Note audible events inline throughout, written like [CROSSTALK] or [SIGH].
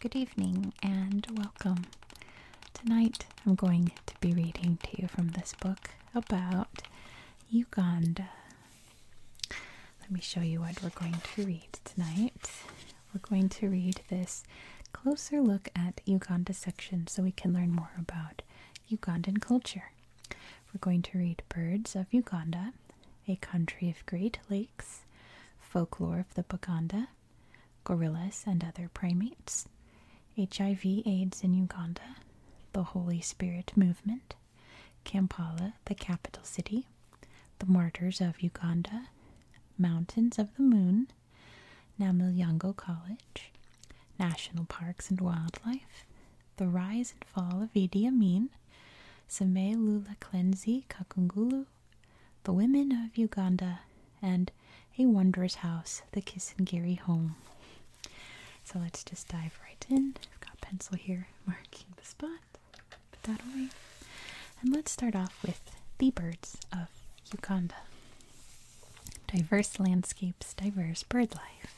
Good evening and welcome. Tonight I'm going to be reading to you from this book about Uganda. Let me show you what we're going to read tonight. We're going to read this closer look at Uganda section so we can learn more about Ugandan culture. We're going to read Birds of Uganda, A Country of Great Lakes, Folklore of the Buganda, Gorillas and Other Primates, HIV AIDS in Uganda, The Holy Spirit Movement, Kampala, the capital city, The Martyrs of Uganda, Mountains of the Moon, Namilyango College, National Parks and Wildlife, The Rise and Fall of Idi Amin, Seme Lula Klenzi Kakungulu, The Women of Uganda, and A Wondrous House, The Kisangiri Home. So let's just dive right in. I've got a pencil here marking the spot. Put that away. And let's start off with the birds of Uganda. Diverse landscapes, diverse bird life.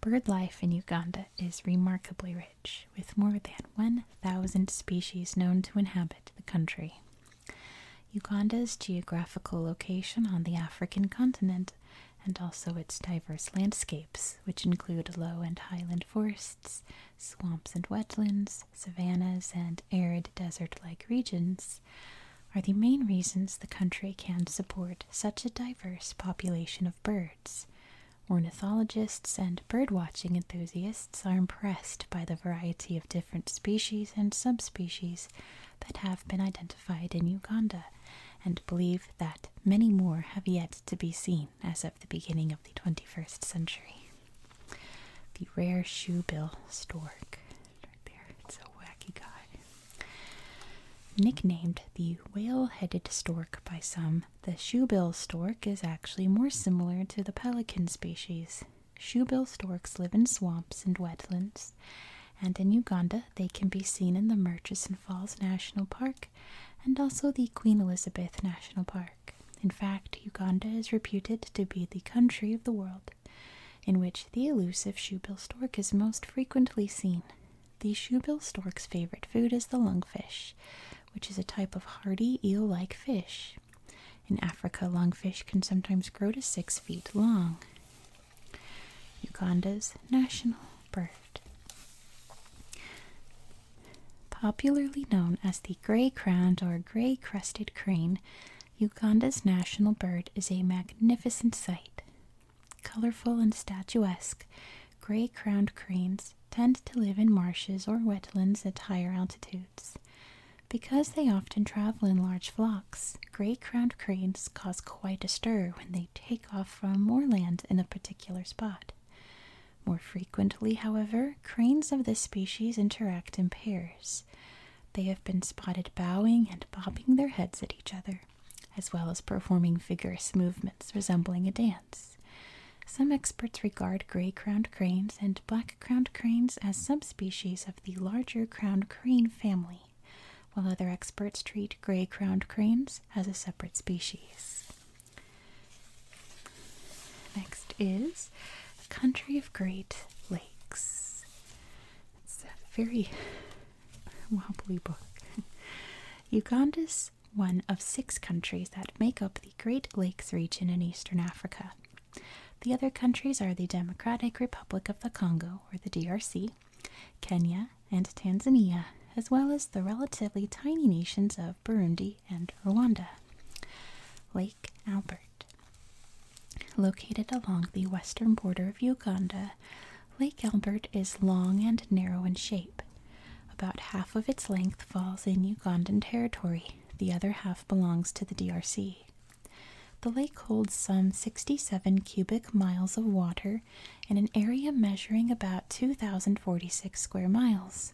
Bird life in Uganda is remarkably rich, with more than 1,000 species known to inhabit the country. Uganda's geographical location on the African continent and also its diverse landscapes, which include low and highland forests, swamps and wetlands, savannas, and arid desert like regions, are the main reasons the country can support such a diverse population of birds. Ornithologists and birdwatching enthusiasts are impressed by the variety of different species and subspecies that have been identified in Uganda and believe that many more have yet to be seen as of the beginning of the 21st century. The rare shoebill stork. Right there, it's a wacky guy. Nicknamed the whale headed stork by some, the shoebill stork is actually more similar to the pelican species. Shoebill storks live in swamps and wetlands, and in Uganda they can be seen in the Murchison Falls National Park and also the Queen Elizabeth National Park. In fact, Uganda is reputed to be the country of the world in which the elusive shoebill stork is most frequently seen. The shoebill stork's favorite food is the lungfish, which is a type of hardy eel like fish. In Africa, lungfish can sometimes grow to six feet long. Uganda's national bird. Popularly known as the grey crowned or grey crested crane, Uganda's national bird is a magnificent sight, Colorful and statuesque, gray crowned cranes tend to live in marshes or wetlands at higher altitudes. Because they often travel in large flocks, gray crowned cranes cause quite a stir when they take off from moorland in a particular spot. More frequently, however, cranes of this species interact in pairs. They have been spotted bowing and bobbing their heads at each other as well as performing vigorous movements resembling a dance. Some experts regard gray crowned cranes and black crowned cranes as subspecies of the larger crowned crane family, while other experts treat gray crowned cranes as a separate species. Next is the country of Great Lakes. It's a very wobbly book. [LAUGHS] Uganda is one of six countries that make up the Great Lakes region in eastern Africa. The other countries are the Democratic Republic of the Congo, or the DRC, Kenya, and Tanzania, as well as the relatively tiny nations of Burundi and Rwanda. Lake Albert. Located along the western border of Uganda, Lake Albert is long and narrow in shape. About half of its length falls in Ugandan territory, the other half belongs to the DRC. The lake holds some 67 cubic miles of water in an area measuring about 2,046 square miles.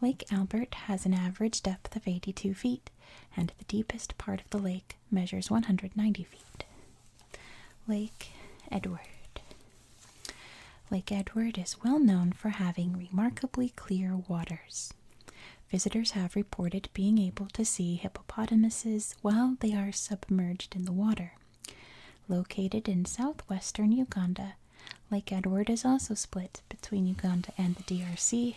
Lake Albert has an average depth of 82 feet, and the deepest part of the lake measures 190 feet. Lake Edward. Lake Edward is well known for having remarkably clear waters. Visitors have reported being able to see hippopotamuses while they are submerged in the water. Located in southwestern Uganda, Lake Edward is also split between Uganda and the DRC,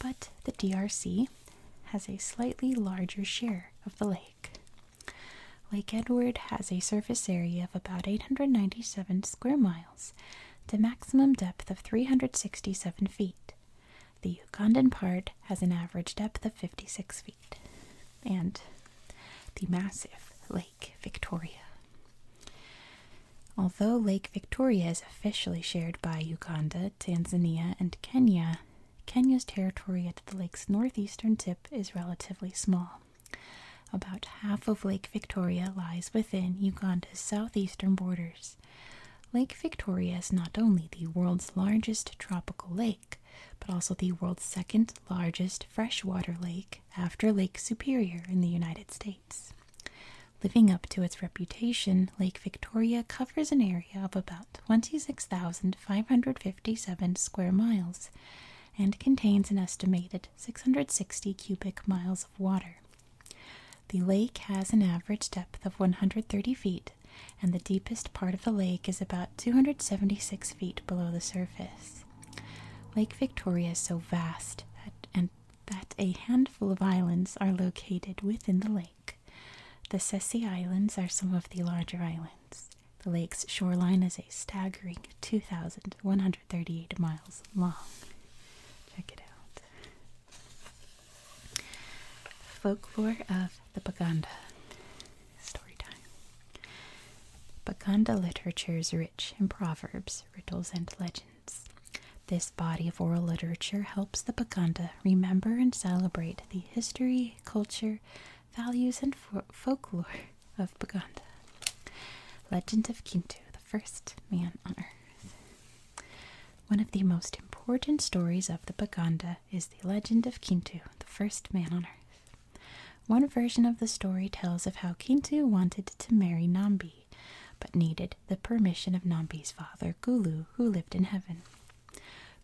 but the DRC has a slightly larger share of the lake. Lake Edward has a surface area of about 897 square miles, the maximum depth of 367 feet. The Ugandan part has an average depth of 56 feet. And the massive Lake Victoria. Although Lake Victoria is officially shared by Uganda, Tanzania, and Kenya, Kenya's territory at the lake's northeastern tip is relatively small. About half of Lake Victoria lies within Uganda's southeastern borders. Lake Victoria is not only the world's largest tropical lake, but also the world's second largest freshwater lake after Lake Superior in the United States. Living up to its reputation, Lake Victoria covers an area of about 26,557 square miles and contains an estimated 660 cubic miles of water. The lake has an average depth of 130 feet, and the deepest part of the lake is about 276 feet below the surface. Lake Victoria is so vast that, that a handful of islands are located within the lake. The Sessi Islands are some of the larger islands. The lake's shoreline is a staggering 2,138 miles long. Check it out. Folklore of the Baganda. Story time. Baganda literature is rich in proverbs, riddles, and legends. This body of oral literature helps the Baganda remember and celebrate the history, culture, values, and folklore of Baganda. Legend of Kintu, the first man on earth. One of the most important stories of the Baganda is the legend of Kintu, the first man on earth. One version of the story tells of how Kintu wanted to marry Nambi, but needed the permission of Nambi's father, Gulu, who lived in heaven.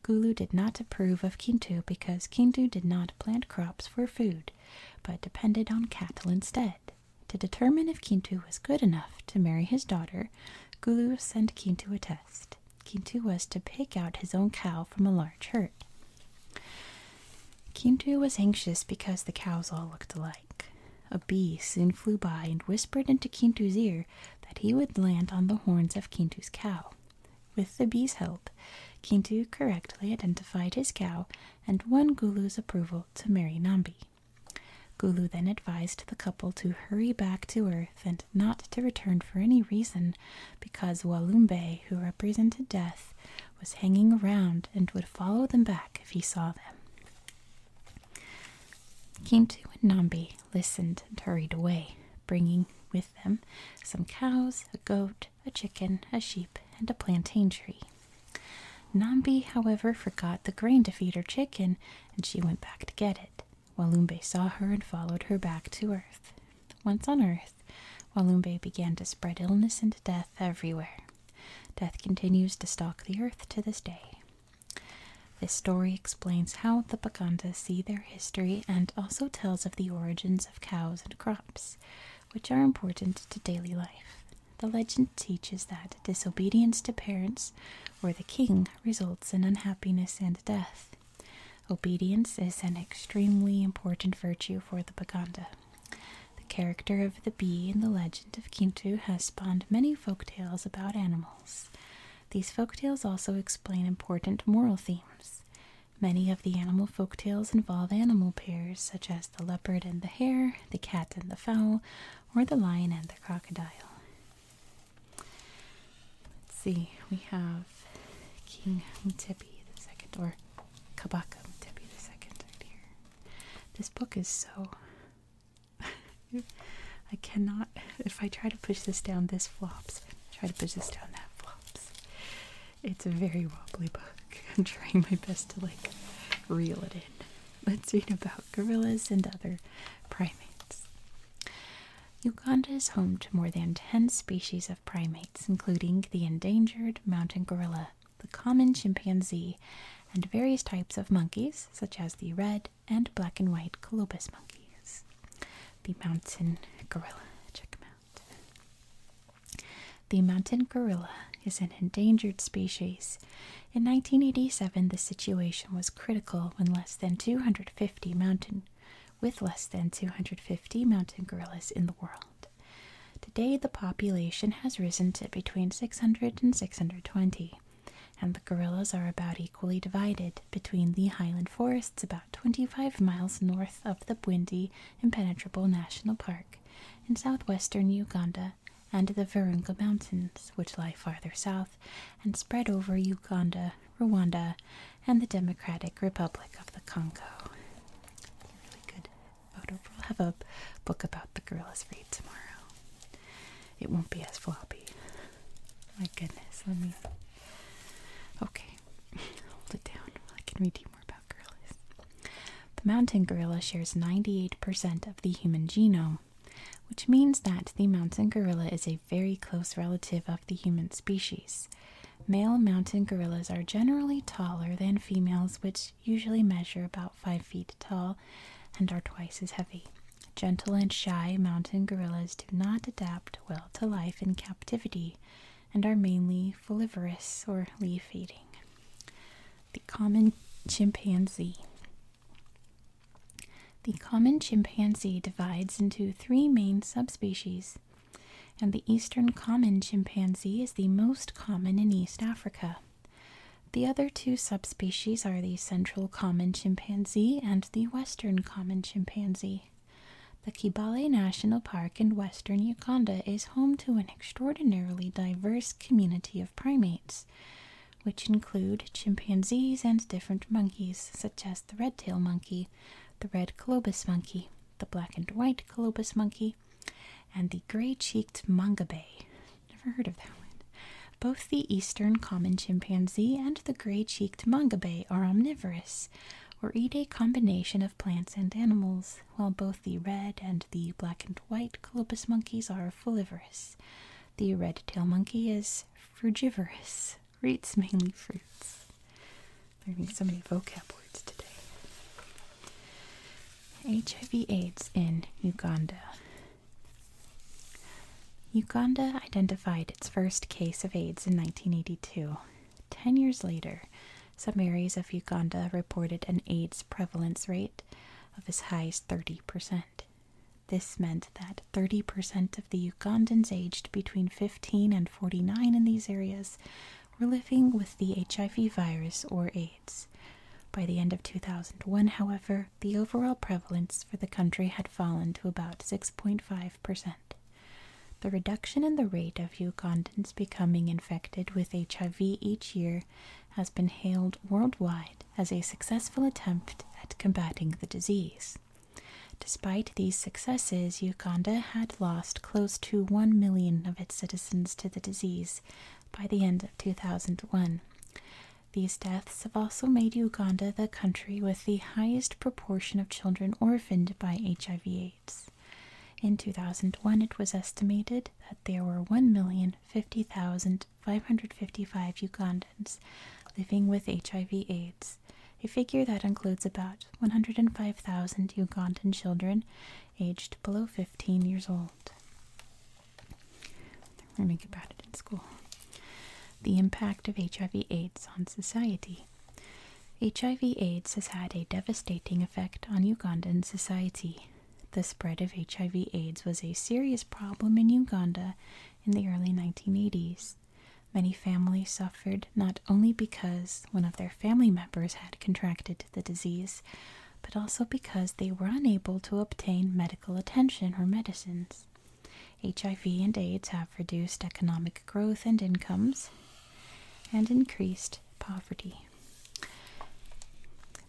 Gulu did not approve of Kintu because Kintu did not plant crops for food, but depended on cattle instead. To determine if Kintu was good enough to marry his daughter, Gulu sent Kintu a test. Kintu was to pick out his own cow from a large herd. Kintu was anxious because the cows all looked alike. A bee soon flew by and whispered into Kintu's ear that he would land on the horns of Kintu's cow. With the bee's help, Kintu correctly identified his cow and won Gulu's approval to marry Nambi. Gulu then advised the couple to hurry back to Earth and not to return for any reason because Walumbe, who represented death, was hanging around and would follow them back if he saw them. Kintu and Nambi listened and hurried away, bringing with them some cows, a goat, a chicken, a sheep, and a plantain tree. Nambi, however, forgot the grain to feed her chicken, and she went back to get it. Walumbe saw her and followed her back to earth. Once on earth, Walumbe began to spread illness and death everywhere. Death continues to stalk the earth to this day. This story explains how the Baganda see their history and also tells of the origins of cows and crops, which are important to daily life. The legend teaches that disobedience to parents or the king results in unhappiness and death. Obedience is an extremely important virtue for the Baganda. The character of the bee in the legend of Kintu has spawned many folk tales about animals. These folktales also explain important moral themes. Many of the animal folktales involve animal pairs, such as the leopard and the hare, the cat and the fowl, or the lion and the crocodile. Let's see, we have King Mtepi the second, or Kabaka Mtepi the second, right here. This book is so I cannot, if I try to push this down, this flops. Try to push this down, that flops. It's a very wobbly book. [LAUGHS] I'm trying my best to like reel it in. Let's read about gorillas and other primates. Uganda is home to more than 10 species of primates, including the endangered mountain gorilla, the common chimpanzee, and various types of monkeys, such as the red, and black and white colobus monkeys. The mountain gorilla, check them out. The mountain gorilla is an endangered species. In 1987, the situation was critical when less than 250 mountain with less than 250 mountain gorillas in the world. Today, the population has risen to between 600 and 620 and the gorillas are about equally divided between the highland forests about 25 miles north of the Bwindi Impenetrable National Park in southwestern Uganda and the Virunga Mountains, which lie farther south and spread over Uganda, Rwanda, and the Democratic Republic of the Congo. Really good We'll have a book about the gorillas read tomorrow it won't be as floppy. My goodness, let me. Okay, [LAUGHS] hold it down. while I can read you more about gorillas. The mountain gorilla shares 98% of the human genome, which means that the mountain gorilla is a very close relative of the human species. Male mountain gorillas are generally taller than females, which usually measure about 5 feet tall and are twice as heavy. Gentle and shy mountain gorillas do not adapt well to life in captivity and are mainly folivorous or leaf eating. The common chimpanzee. The common chimpanzee divides into three main subspecies, and the eastern common chimpanzee is the most common in East Africa. The other two subspecies are the central common chimpanzee and the western common chimpanzee. The Kibale National Park in western Uganda is home to an extraordinarily diverse community of primates, which include chimpanzees and different monkeys, such as the red tailed monkey, the red colobus monkey, the black and white colobus monkey, and the gray cheeked mangabey. Never heard of that one. Both the eastern common chimpanzee and the gray cheeked mungabey are omnivorous, or eat a combination of plants and animals, while both the red and the black and white colobus monkeys are folivorous. The red tail monkey is frugivorous, eats mainly fruits. Learning so many vocab words today. HIV AIDS in Uganda. Uganda identified its first case of AIDS in 1982. Ten years later, some areas of Uganda reported an AIDS prevalence rate of as high as 30%. This meant that 30% of the Ugandans aged between 15 and 49 in these areas were living with the HIV virus or AIDS. By the end of 2001, however, the overall prevalence for the country had fallen to about 6.5%. The reduction in the rate of Ugandans becoming infected with HIV each year has been hailed worldwide as a successful attempt at combating the disease. Despite these successes, Uganda had lost close to 1 million of its citizens to the disease by the end of 2001. These deaths have also made Uganda the country with the highest proportion of children orphaned by HIV/AIDS. In 2001, it was estimated that there were 1,050,555 Ugandans living with HIV/AIDS, a figure that includes about 105,000 Ugandan children aged below 15 years old. We're going to about it in school. The impact of HIV/AIDS on society. HIV/AIDS has had a devastating effect on Ugandan society. The spread of HIV/AIDS was a serious problem in Uganda in the early 1980s. Many families suffered not only because one of their family members had contracted the disease, but also because they were unable to obtain medical attention or medicines. HIV and AIDS have reduced economic growth and incomes and increased poverty.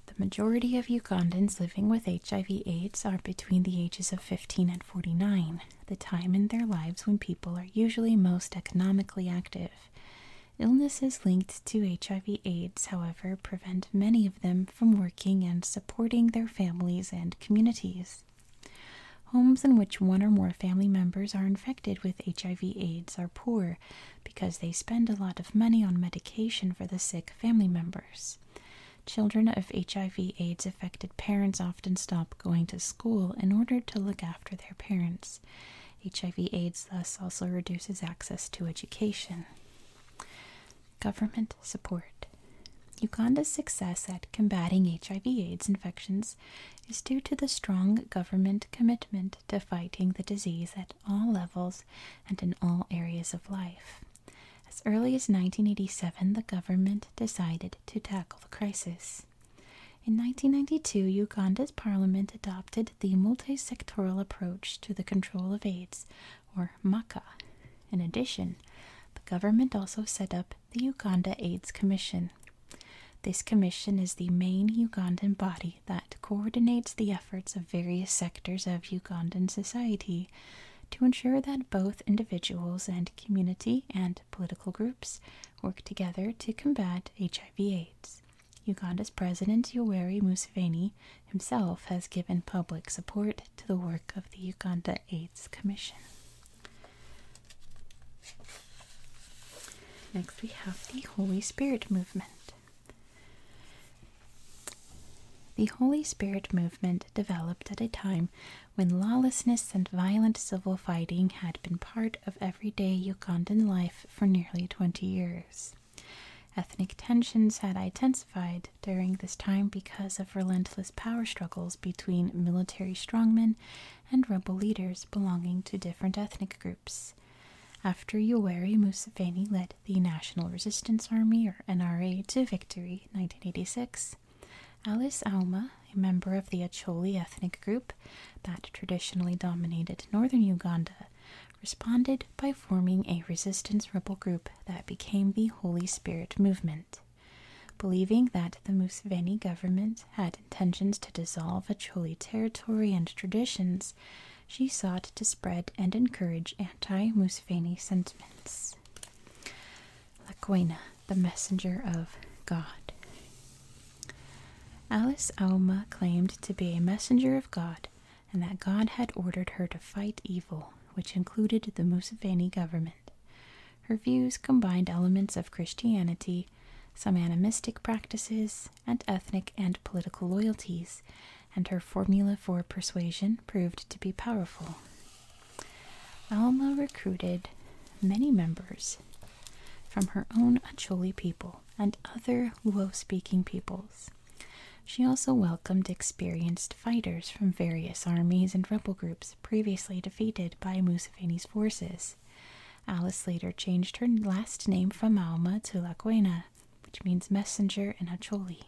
The majority of Ugandans living with HIV/AIDS are between the ages of 15 and 49, the time in their lives when people are usually most economically active. Illnesses linked to HIV/AIDS, however, prevent many of them from working and supporting their families and communities. Homes in which one or more family members are infected with HIV/AIDS are poor because they spend a lot of money on medication for the sick family members. Children of HIV/AIDS affected parents often stop going to school in order to look after their parents. HIV/AIDS thus also reduces access to education. Government support. Uganda's success at combating HIV/AIDS infections is due to the strong government commitment to fighting the disease at all levels and in all areas of life. As early as 1987, the government decided to tackle the crisis. In 1992, Uganda's parliament adopted the multi sectoral approach to the control of AIDS, or or In addition, the government also set up the Uganda AIDS Commission. This commission is the main Ugandan body that coordinates the efforts of various sectors of Ugandan society to ensure that both individuals and community and political groups work together to combat HIV/AIDS. Uganda's President Yoweri Museveni himself has given public support to the work of the Uganda AIDS Commission. Next, we have the Holy Spirit Movement. The Holy Spirit Movement developed at a time when lawlessness and violent civil fighting had been part of everyday Ugandan life for nearly 20 years. Ethnic tensions had intensified during this time because of relentless power struggles between military strongmen and rebel leaders belonging to different ethnic groups. After Yoweri Museveni led the National Resistance Army, or NRA, to victory in 1986, Alice Auma, a member of the Acholi ethnic group that traditionally dominated northern Uganda, responded by forming a resistance rebel group that became the Holy Spirit Movement. Believing that the Museveni government had intentions to dissolve Acholi territory and traditions, she sought to spread and encourage anti Museveni sentiments. Lakwena, the messenger of God. Alice Auma claimed to be a messenger of God and that God had ordered her to fight evil, which included the Museveni government. Her views combined elements of Christianity, some animistic practices, and ethnic and political loyalties, and her formula for persuasion proved to be powerful. Alma recruited many members from her own Acholi people and other Luo speaking peoples. She also welcomed experienced fighters from various armies and rebel groups previously defeated by Museveni's forces. Alice later changed her last name from Mauma to Laquena, which means messenger in Acholi.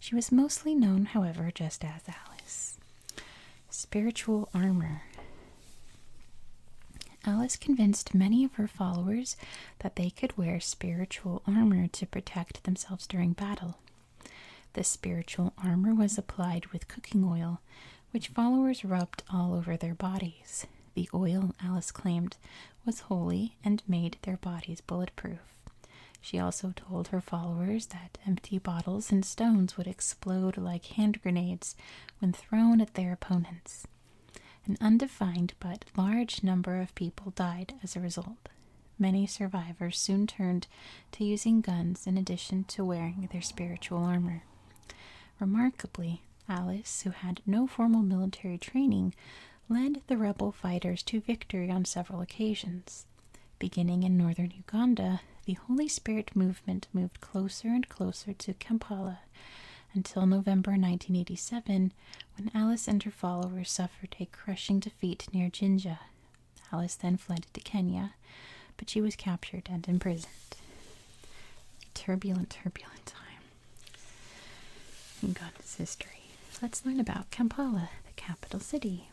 She was mostly known, however, just as Alice. Spiritual armor. Alice convinced many of her followers that they could wear spiritual armor to protect themselves during battle. The spiritual armor was applied with cooking oil, which followers rubbed all over their bodies. The oil, Alice claimed, was holy and made their bodies bulletproof. She also told her followers that empty bottles and stones would explode like hand grenades when thrown at their opponents. An undefined but large number of people died as a result. Many survivors soon turned to using guns in addition to wearing their spiritual armor. Remarkably, Alice, who had no formal military training, led the rebel fighters to victory on several occasions. Beginning in northern Uganda, the Holy Spirit movement moved closer and closer to Kampala until November 1987, when Alice and her followers suffered a crushing defeat near Jinja, Alice then fled to Kenya, but she was captured and imprisoned. Turbulent, turbulent time. In Uganda's history. Let's learn about Kampala, the capital city.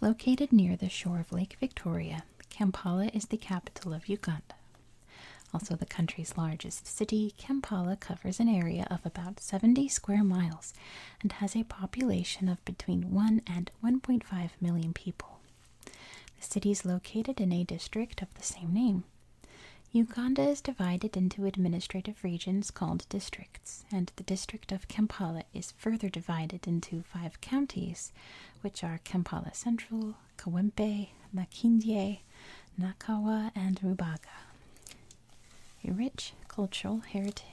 Located near the shore of Lake Victoria, Kampala is the capital of Uganda. Also the country's largest city, Kampala covers an area of about 70 square miles and has a population of between 1 and 1.5 million people. The city is located in a district of the same name. Uganda is divided into administrative regions called districts, and the district of Kampala is further divided into five counties, which are Kampala Central, Kawempe, Makindye, Nakawa, and Rubaga a rich cultural heritage.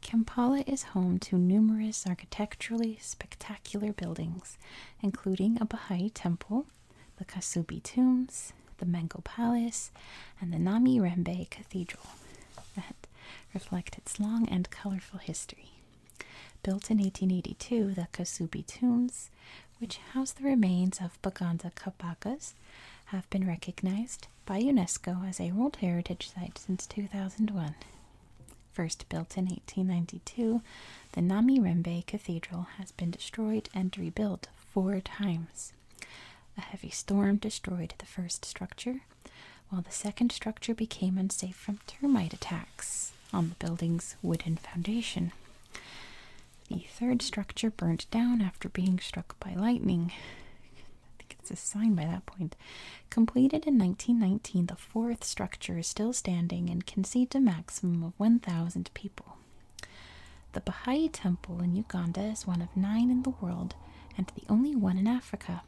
Kampala is home to numerous architecturally spectacular buildings, including a Baha'i temple, the Kasubi tombs, the Mengo Palace, and the Nami Rembe Cathedral that reflect its long and colorful history. Built in 1882, the Kasubi tombs which house the remains of Baganza Kapacas, have been recognized by UNESCO as a World Heritage Site since 2001. First built in 1892, the Nami Rembe Cathedral has been destroyed and rebuilt four times. A heavy storm destroyed the first structure, while the second structure became unsafe from termite attacks on the building's wooden foundation. The third structure burnt down after being struck by lightning. I think it's a sign by that point. Completed in 1919, the fourth structure is still standing and can seat a maximum of 1,000 people. The Baha'i Temple in Uganda is one of nine in the world and the only one in Africa.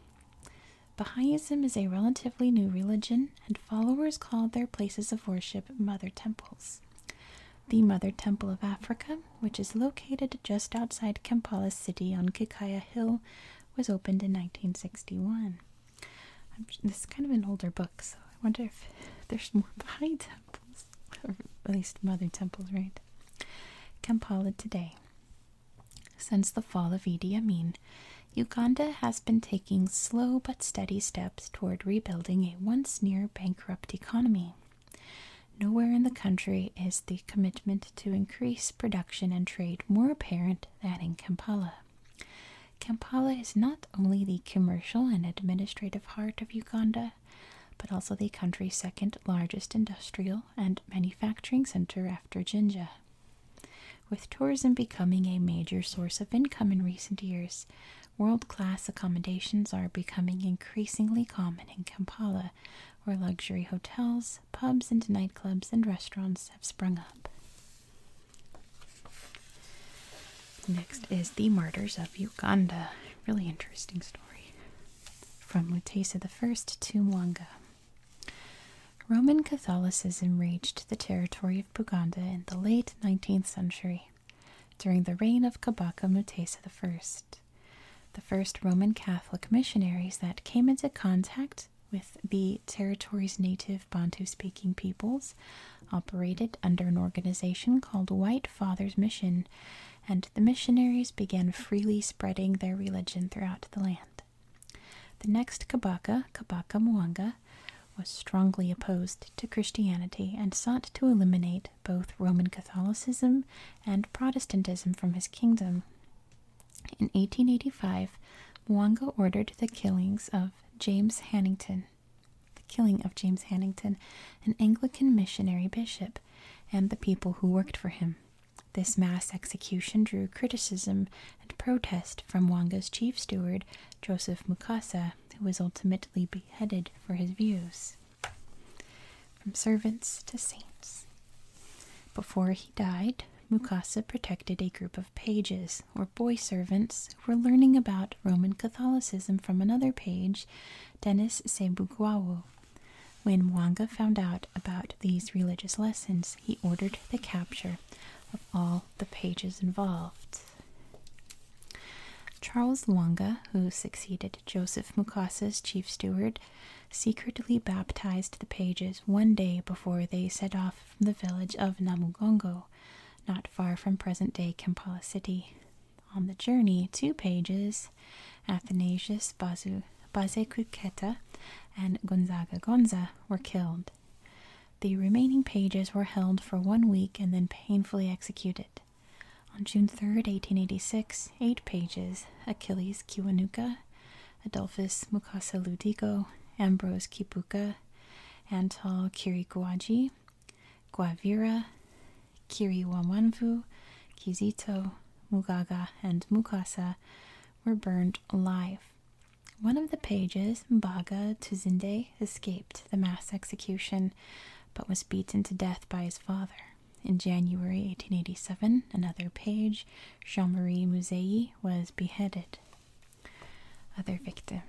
Baha'ism is a relatively new religion, and followers call their places of worship mother temples the Mother Temple of Africa, which is located just outside Kampala City on Kikaya Hill, was opened in 1961. this is kind of an older book, so I wonder if there's more Baha'i temples, or at least Mother Temples, right? Kampala today. Since the fall of Idi Amin, Uganda has been taking slow but steady steps toward rebuilding a once near bankrupt economy. Nowhere in the country is the commitment to increase production and trade more apparent than in Kampala. Kampala is not only the commercial and administrative heart of Uganda, but also the country's second largest industrial and manufacturing center after Jinja. With tourism becoming a major source of income in recent years, World class accommodations are becoming increasingly common in Kampala, where luxury hotels, pubs, and nightclubs and restaurants have sprung up. Next is The Martyrs of Uganda. Really interesting story. From Mutesa I to Mwanga. Roman Catholicism reached the territory of Uganda in the late 19th century during the reign of Kabaka Mutesa I. The first Roman Catholic missionaries that came into contact with the territory's native Bantu speaking peoples operated under an organization called White Fathers Mission, and the missionaries began freely spreading their religion throughout the land. The next Kabaka, Kabaka Mwanga, was strongly opposed to Christianity and sought to eliminate both Roman Catholicism and Protestantism from his kingdom. In 1885, Mwanga ordered the killings of James Hannington, the killing of James Hannington, an Anglican missionary bishop, and the people who worked for him. This mass execution drew criticism and protest from Wanga's chief steward, Joseph Mukasa, who was ultimately beheaded for his views. From servants to saints. Before he died, Mukasa protected a group of pages, or boy servants, who were learning about Roman Catholicism from another page, Denis Sebugwawo. When Mwanga found out about these religious lessons, he ordered the capture of all the pages involved. Charles Luanga, who succeeded Joseph Mukasa's chief steward, secretly baptized the pages one day before they set off from the village of Namugongo, not far from present day Kampala City. On the journey, two pages, Athanasius Bazu, Baze and Gonzaga Gonza, were killed. The remaining pages were held for one week and then painfully executed. On June 3, 1886, eight pages Achilles Kiwanuka, Adolphus Mukasa Ludigo, Ambrose Kibuka, Antal Kiriguaji, Guavira, Kiriwamanvu, Kizito, Mugaga, and Mukasa were burned alive. One of the pages, Mbaga Tuzinde, escaped the mass execution, but was beaten to death by his father. In January 1887, another page, Jean Marie Musei, was beheaded. Other victims.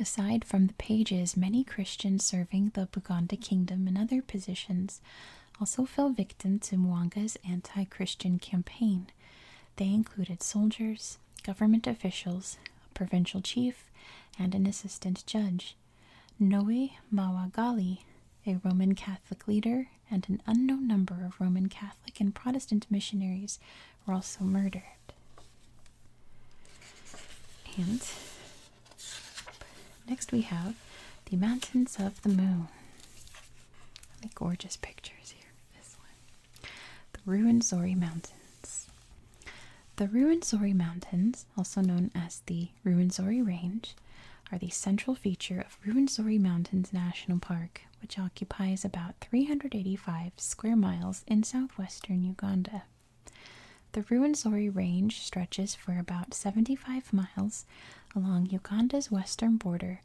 Aside from the pages, many Christians serving the Buganda kingdom and other positions also fell victim to Mwanga's anti Christian campaign. They included soldiers, government officials, a provincial chief, and an assistant judge. Noe Mawagali, a Roman Catholic leader, and an unknown number of Roman Catholic and Protestant missionaries were also murdered. And next we have the Mountains of the Moon. Really gorgeous pictures here this one. The Ruwenzori Mountains. The Ruwenzori Mountains also known as the Ruwenzori Range, are the central feature of Ruwenzori Mountains National Park, which occupies about 385 square miles in southwestern Uganda. The Ruwenzori Range stretches for about 75 miles along Uganda's western border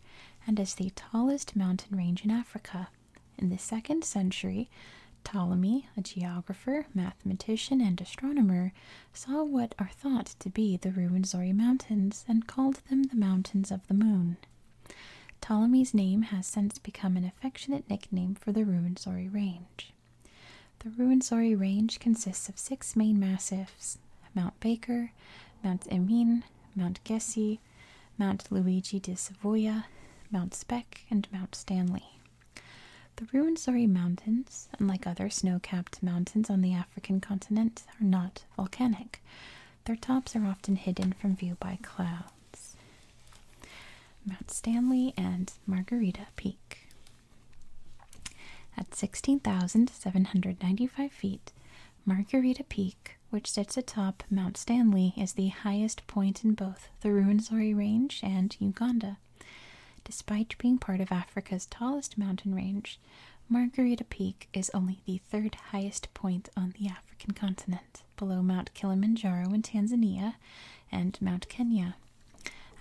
and is the tallest mountain range in Africa. In the 2nd century, Ptolemy, a geographer, mathematician, and astronomer, saw what are thought to be the Ruwenzori Mountains and called them the Mountains of the Moon. Ptolemy's name has since become an affectionate nickname for the Ruwenzori Range. The Ruwenzori Range consists of six main massifs Mount Baker, Mount Emin, Mount Gessi, Mount Luigi di Savoia, Mount Speck, and Mount Stanley. The Ruwenzori Mountains, unlike other snow capped mountains on the African continent, are not volcanic. Their tops are often hidden from view by clouds. Mount Stanley and Margarita Peak. At 16,795 feet, Margarita Peak, which sits atop Mount Stanley, is the highest point in both the Ruwenzori Range and Uganda. Despite being part of Africa's tallest mountain range, Margarita Peak is only the third highest point on the African continent, below Mount Kilimanjaro in Tanzania and Mount Kenya.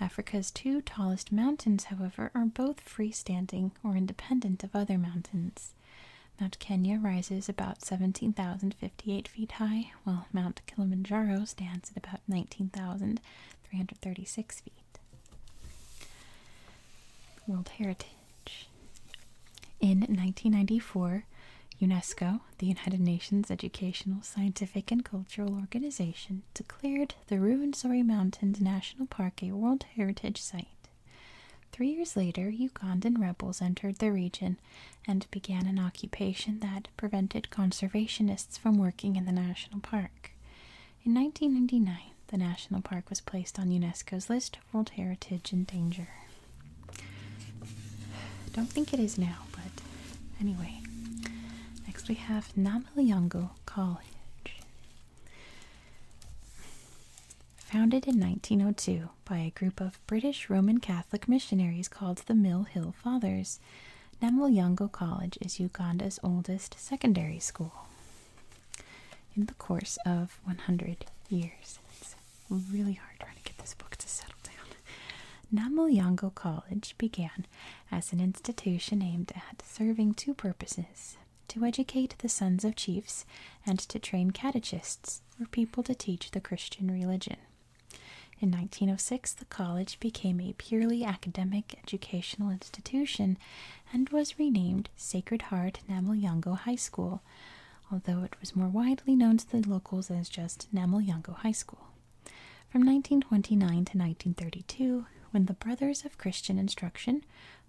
Africa's two tallest mountains, however, are both freestanding or independent of other mountains. Mount Kenya rises about 17,000 58 feet high, while Mount Kilimanjaro stands at about 19,336 feet. World Heritage. In 1994, UNESCO, the United Nations Educational, Scientific, and Cultural Organization, declared the Ruwenzori Mountains National Park a World Heritage Site. Three years later, Ugandan rebels entered the region and began an occupation that prevented conservationists from working in the national park. In 1999, the national park was placed on UNESCO's list of World Heritage in Danger. Don't think it is now, but anyway. Next we have Namalyongo College. Founded in 1902 by a group of British Roman Catholic missionaries called the Mill Hill Fathers, campus. College is Uganda's oldest secondary school in the course of 100 years. It's really hard trying to get this book to settle down. Namwalyango College began as an institution aimed at serving two purposes to educate the sons of chiefs and to train catechists or people to teach the Christian religion. In 1906, the college became a purely academic educational institution and was renamed Sacred Heart Namaliango High School, although it was more widely known to the locals as just Namaliango High School. From 1929 to 1932, when the Brothers of Christian Instruction,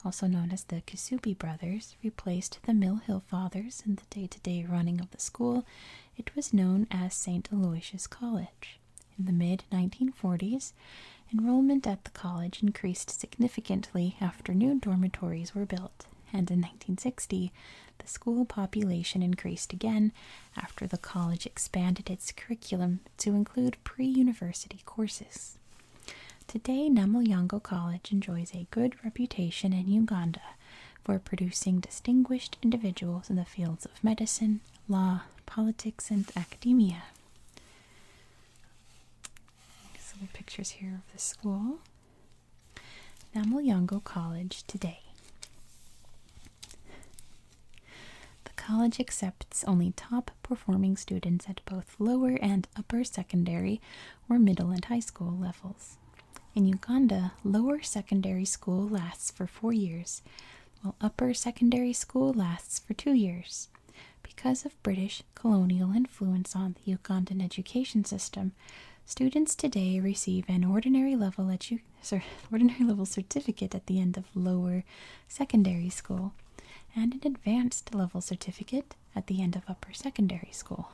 also known as the Kasubi Brothers, replaced the Mill Hill Fathers and day to day running of the school, it was known as St. Aloysius College. In the mid 1940s, enrollment at the college increased significantly after new dormitories were built, and in 1960, the school population increased again after the college expanded its curriculum to include pre university courses. Today, Namolyango College enjoys a good reputation in Uganda for producing distinguished individuals in the fields of medicine, law, politics, and academia. Some pictures here of the school. Namulyango College today. The college accepts only top performing students at both lower and upper secondary or middle and high school levels. In Uganda, lower secondary school lasts for four years, while upper secondary school lasts for two years. Because of British colonial influence on the Ugandan education system, students today receive an ordinary level, [LAUGHS] certificate at the end of lower secondary school and an advanced level certificate at the end of upper secondary school.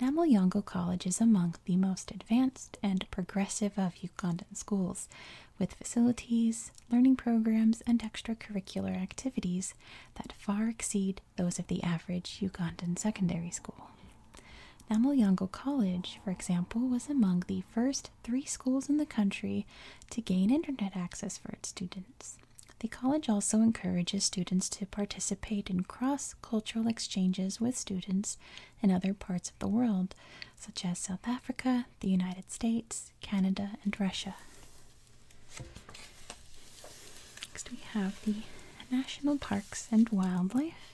Namaloyango College is among the most advanced and progressive of Ugandan schools, with facilities, learning programs, and extracurricular activities that far exceed those of the average Ugandan secondary school. Namaloyango College, for example, was among the first three schools in the country to gain internet access for its students. The college also encourages students to participate in cross cultural exchanges with students and other parts of the world, such as South Africa, the United States, Canada, and Russia. Next, we have the National Parks and Wildlife,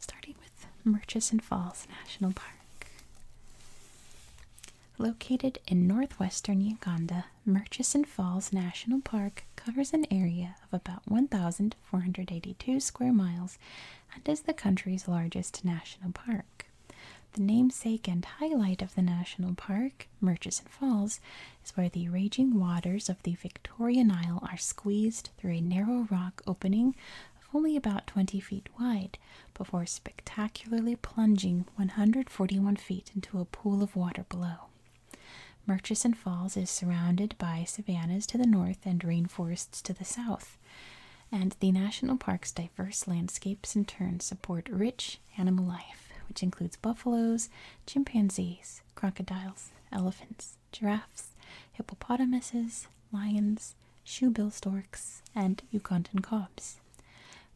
starting with Murchison Falls National Park. Located in northwestern Uganda, Murchison Falls National Park covers an area of about 1,000 482 square miles and is the country's largest national park. The namesake and highlight of the national park, Murchison Falls, is where the raging waters of the Victoria Nile are squeezed through a narrow rock opening of only about 20 feet wide before spectacularly plunging 141 feet into a pool of water below. Murchison Falls is surrounded by savannas to the north and rainforests to the south, and the national park's diverse landscapes in turn support rich animal life, which includes buffaloes, chimpanzees, crocodiles, elephants, giraffes, hippopotamuses, lions, shoebill storks, and Yucatan cobs.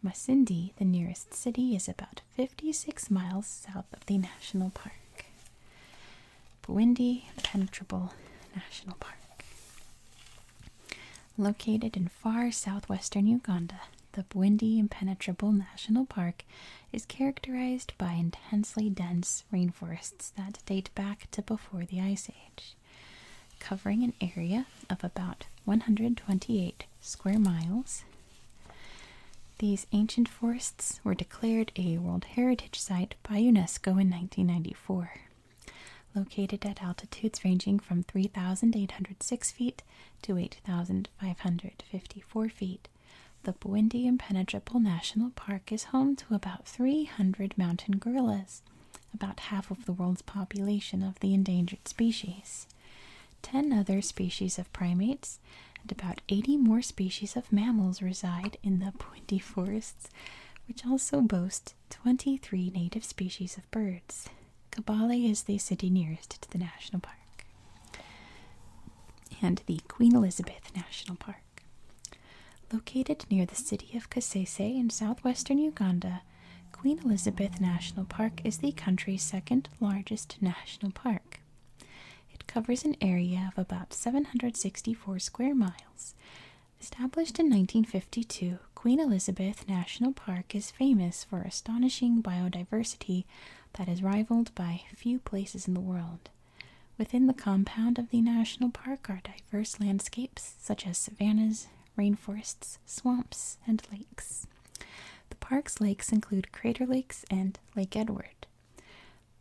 Masindi, the nearest city, is about 56 miles south of the national park. Buindi Impenetrable National Park. Located in far southwestern Uganda, the Bwindi Impenetrable National Park is characterized by intensely dense rainforests that date back to before the Ice Age, covering an area of about 128 square miles. These ancient forests were declared a World Heritage Site by UNESCO in 1994. Located at altitudes ranging from 3,806 feet to 8,554 feet, the windy, Impenetrable National Park is home to about 300 mountain gorillas, about half of the world's population of the endangered species. Ten other species of primates and about 80 more species of mammals reside in the pointy forests, which also boast 23 native species of birds. Kabale is the city nearest to the national park and the Queen Elizabeth National Park. Located near the city of Kasese in southwestern Uganda, Queen Elizabeth National Park is the country's second largest national park. It covers an area of about 764 square miles. Established in 1952, Queen Elizabeth National Park is famous for astonishing biodiversity that is rivaled by few places in the world. Within the compound of the national park are diverse landscapes such as savannas, rainforests, swamps, and lakes. The park's lakes include Crater Lakes and Lake Edward.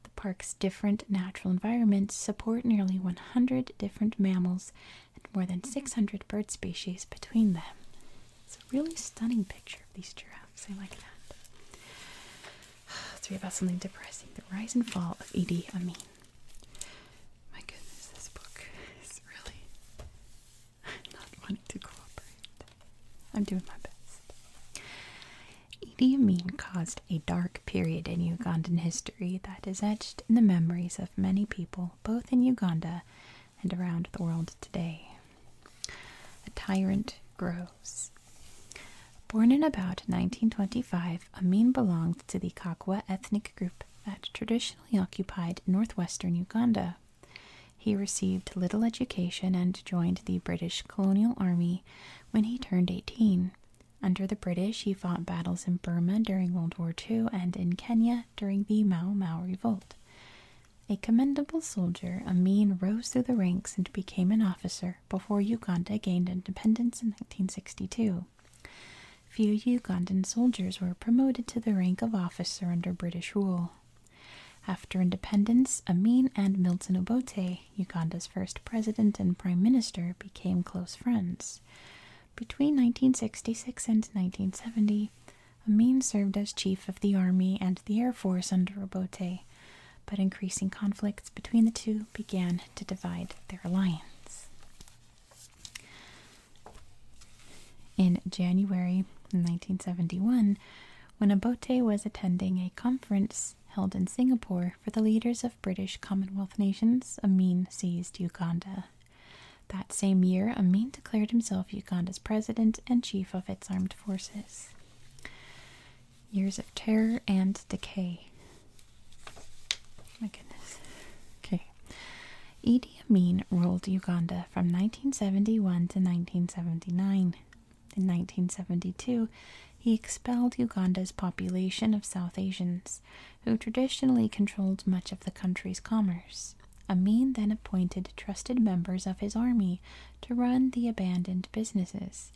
The park's different natural environments support nearly 100 different mammals and more than 600 bird species between them. It's a really stunning picture of these giraffes. I like that. Let's read about something depressing. The Rise and Fall of Idi Amin. My goodness, this book is really [LAUGHS] not wanting to cooperate. I'm doing my best. Idi Amin caused a dark period in Ugandan history that is etched in the memories of many people, both in Uganda and around the world today. A tyrant grows. Born in about 1925, Amin belonged to the Kakwa ethnic group that traditionally occupied northwestern Uganda. He received little education and joined the British colonial army when he turned 18. Under the British, he fought battles in Burma during World War II and in Kenya during the Mau Mau Revolt. A commendable soldier, Amin rose through the ranks and became an officer before Uganda gained independence in 1962. Few Ugandan soldiers were promoted to the rank of officer under British rule. After independence, Amin and Milton Obote, Uganda's first president and prime minister, became close friends. Between 1966 and 1970, Amin served as chief of the army and the air force under Obote, but increasing conflicts between the two began to divide their alliance. In January 1971, when Obote was attending a conference held in Singapore for the leaders of British Commonwealth nations, Amin seized Uganda. That same year, Amin declared himself Uganda's president and chief of its armed forces. Years of terror and decay. My goodness. Okay. Idi Amin ruled Uganda from 1971 to 1979. In 1972, he expelled Uganda's population of South Asians, who traditionally controlled much of the country's commerce. Amin then appointed trusted members of his army to run the abandoned businesses.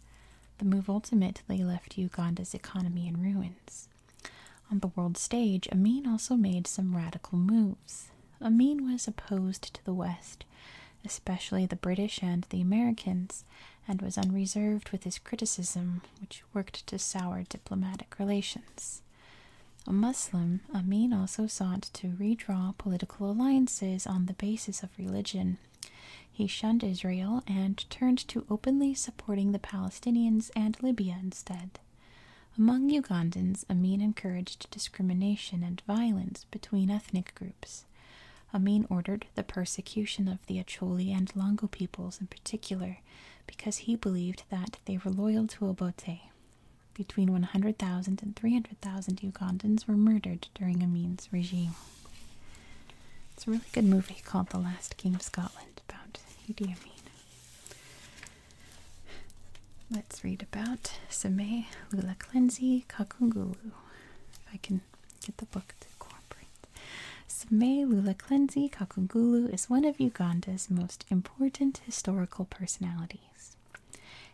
The move ultimately left Uganda's economy in ruins. On the world stage, Amin also made some radical moves. Amin was opposed to the West, especially the British and the Americans, and was unreserved with his criticism, which worked to sour diplomatic relations. A Muslim, Amin also sought to redraw political alliances on the basis of religion. He shunned Israel and turned to openly supporting the Palestinians and Libya instead. Among Ugandans, Amin encouraged discrimination and violence between ethnic groups. Greece. Amin ordered the persecution of the Acholi and Lango peoples in particular because he believed that they were loyal to Obote. Between 100,000 and 300,000 Ugandans were murdered during Amin's regime. It's a really good movie called The Last King of Scotland about Idi Amin. Let's read about Seme Lula Kakungu. If I can Get the book to cooperate. Sime Lula Klenzi Kakungulu is one of Uganda's most important historical personalities.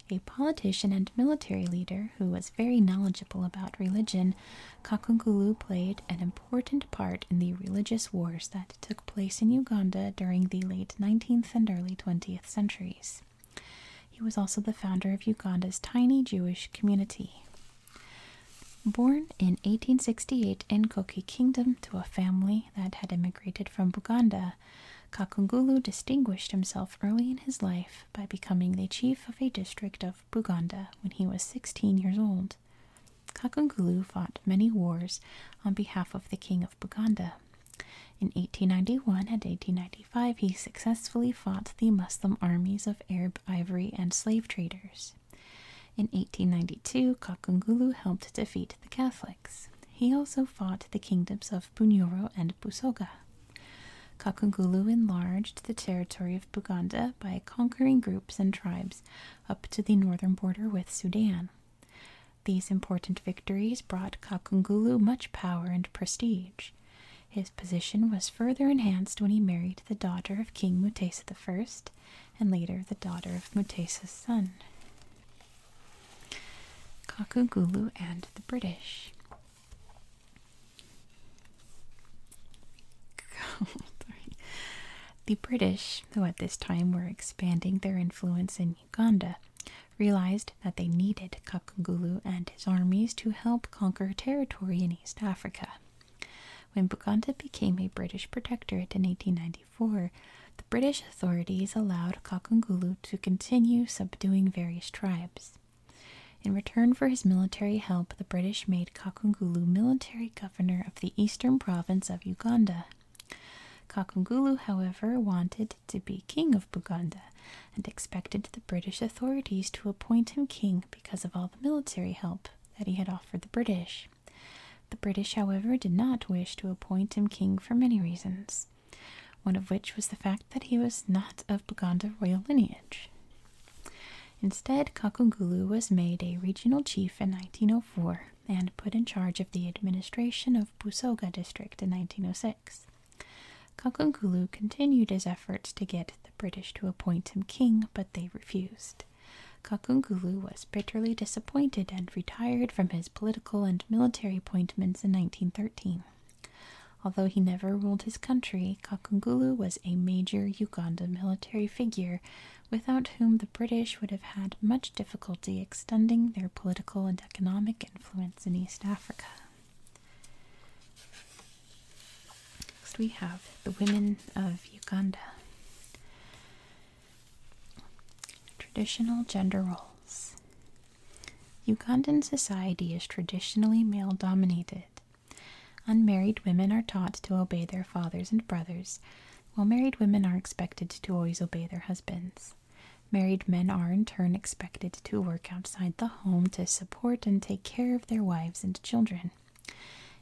A politician and military leader who was very knowledgeable about religion, Kakungulu played an important part in the religious wars that took place in Uganda during the late 19th and early 20th centuries. He was also the founder of Uganda's tiny Jewish community. Born in 1868 in Koki Kingdom to a family that had immigrated from Buganda, Kakungulu distinguished himself early in his life by becoming the chief of a district of Buganda when he was 16 years old. Kakungulu fought many wars on behalf of the King of Buganda. In 1891 and 1892, he successfully fought the Muslim armies of Arab ivory and slave traders. In 1892, Kakungulu helped defeat the Catholics. He also fought the kingdoms of Bunyoro and Busoga. Kakungulu enlarged the territory of Buganda by conquering groups and tribes up to the northern border with Sudan. These important victories brought Kakungulu much power and prestige. His position was further enhanced when he married the daughter of King Mutesa I and later the daughter of Mutesa's son. Kakugulu and the British. [LAUGHS] the British, who at this time were expanding their influence in Uganda, realized that they needed Kakugulu and his armies to help conquer territory in East Africa. When Buganda became a British protectorate in 1894, the British authorities allowed Kakungulu to continue subduing various tribes. In return for his military help, the British made Kakungulu military governor of the eastern province of Uganda. Kakungulu, however, wanted to be king of. Buganda and expected the British authorities to appoint him king because of all the military help that he had offered the British. The British, however, did not wish to appoint him king for many reasons, one of which was the fact that he was not of Buganda royal lineage. Instead, Kakungulu was made a regional chief in 1904 and put in charge of the administration of Busoga district in 1906. Kakungulu continued his efforts to get the British to appoint him king, but they refused. Kakungulu was bitterly disappointed and retired from his political and military appointments in 1913. Although he never ruled his country, Kakungulu was a major Uganda military figure without whom the British would have had much difficulty extending their political and economic influence in East Africa. Next, we have the women of Uganda. Traditional gender roles. Ugandan society is traditionally male dominated. Unmarried women are taught to obey their fathers and brothers, while married women are expected to always obey their husbands. Married men are in turn expected to work outside the home to support and take care of their wives and children.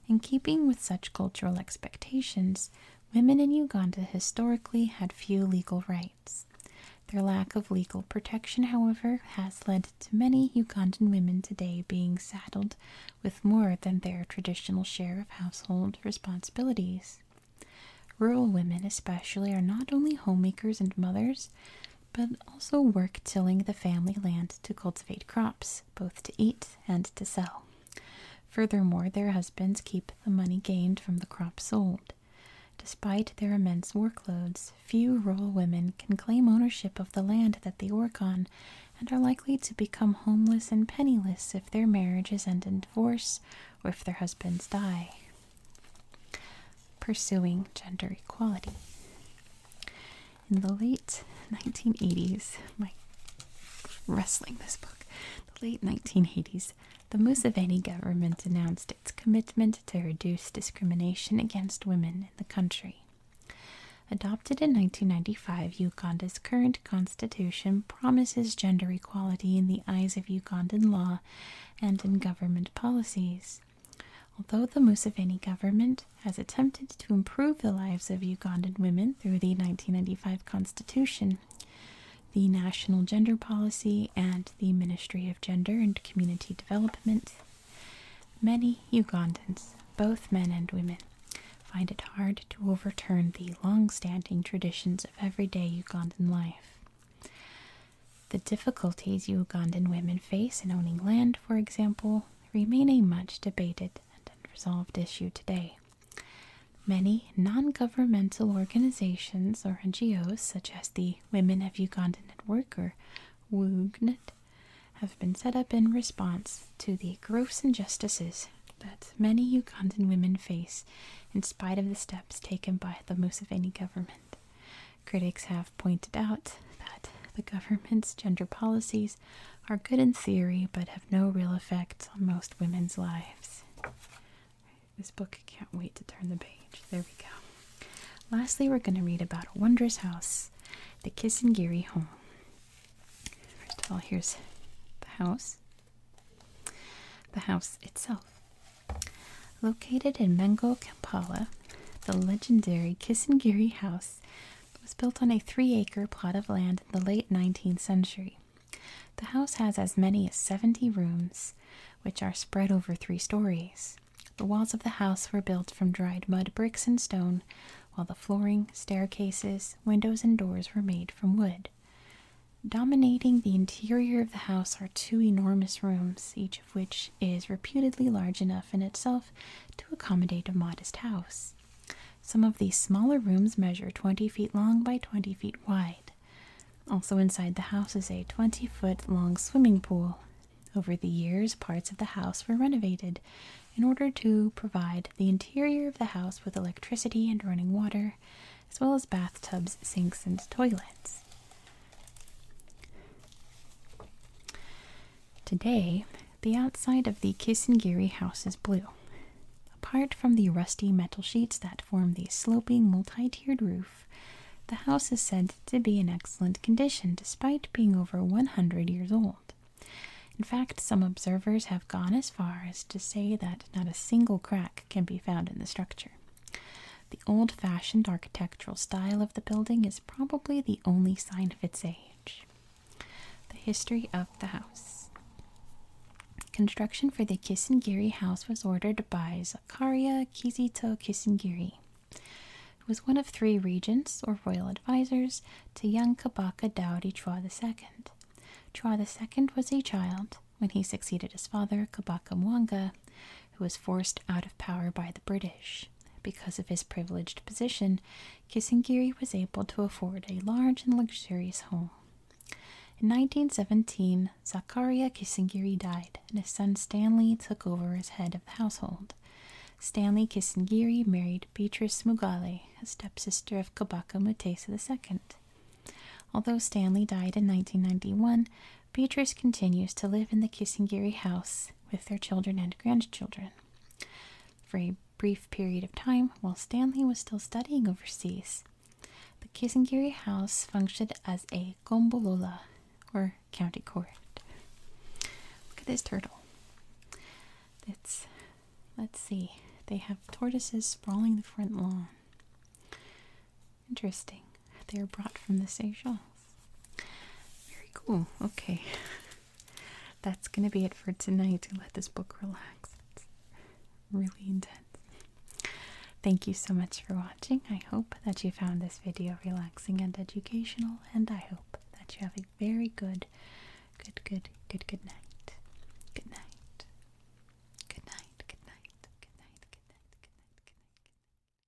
In keeping with such cultural expectations, women in Uganda historically had few legal rights. Their lack of legal protection, however, has led to many Ugandan women today being saddled with more than their traditional share of household responsibilities. Rural women, especially, are not only homemakers and mothers, but also work tilling the family land to cultivate crops, both to eat and to sell. Furthermore, their husbands keep the money gained from the crops sold. Despite their immense workloads, few rural women can claim ownership of the land that they work on and are likely to become homeless and penniless if their marriages end in divorce or if their husbands die pursuing gender equality. In the late 1980s, my wrestling this book, the late 1980s, the Museveni government announced its commitment to reduce discrimination against women in the country. Adopted in 1995, Uganda's current constitution promises gender equality in the eyes of Ugandan law and in government policies. Although the Museveni government has attempted to improve the lives of Ugandan women through the 1995 constitution, the National Gender Policy, and the Ministry of Gender and Community Development, many Ugandans, both men and women, find it hard to overturn the long standing traditions of everyday Ugandan life. The difficulties Ugandan women face in owning land, for example, remain a much debated and unresolved issue today. Many non governmental organizations or NGOs, such as the Women of Uganda Network, or WUGNET, have been set up in response to the gross injustices that many Ugandan women face in spite of the steps taken by the Museveni government. Critics have pointed out that the government's gender policies are good in theory but have no real effects on most women's lives. This book can't wait to turn the page. There we go. Lastly, we're going to read about a wondrous house, the Kissingiri home. First of all, here's the house, the house itself. Located in Mengo Kampala, the legendary Kisangiri House was built on a three acre plot of land in the late 19th century. The house has as many as 70 rooms, which are spread over three stories. The walls of the house were built from dried mud bricks and stone, while the flooring, staircases, windows, and doors were made from wood. Dominating the interior of the house are two enormous rooms, each which is reputedly large enough in itself to accommodate a modest house. Some of these smaller rooms measure 20 feet long by 20 feet wide. Also inside the house is a 20 foot long swimming pool. Over the years, parts of the house were renovated in order to provide the interior of the house with electricity and running water, as well as bathtubs, sinks, and toilets. Today, the outside of the Kisangiri house is blue. Apart from the rusty metal sheets that form the sloping multi tiered roof, the house is said to be in excellent condition despite being over 100 years old. In fact, some observers have gone as far as to say that not a single crack can be found in the structure. The old fashioned architectural style of the building is probably the only sign of its age. The history of the house Construction for the Kisingiri house was ordered by Zakaria Kizito Kisingiri, who was one of three regents or royal advisers to young Kabaka Daudi Chua II. Chua II was a child when he succeeded his father, Kabaka Mwanga, who was forced out of power by the British. Because of his privileged position, Kisingiri was able to afford a large and luxurious home. In 1917, Zakaria Kisingiri died, and his son Stanley took over as head of the household. Stanley Kisingiri married Beatrice Mugale, a stepsister of Kabaka Mutesa II. Although Stanley died in 1991, Beatrice continues to live in the Kissingiri house with their children and grandchildren. For a brief period of time, while Stanley was still studying overseas, the Kissingiri house functioned as a gombolola, or county court. Look at this turtle. It's, let's see, they have tortoises sprawling the front lawn. Interesting. They are brought from the Seychelles. Very cool. Okay. [LAUGHS] That's going to be it for tonight to let this book relax. It's really intense. Thank you so much for watching. I hope that you found this video relaxing and educational, and I hope that you have a very good, good, good, good, Good night. Good night. Good night. Good night. Good night. Good night. Good night. Good night.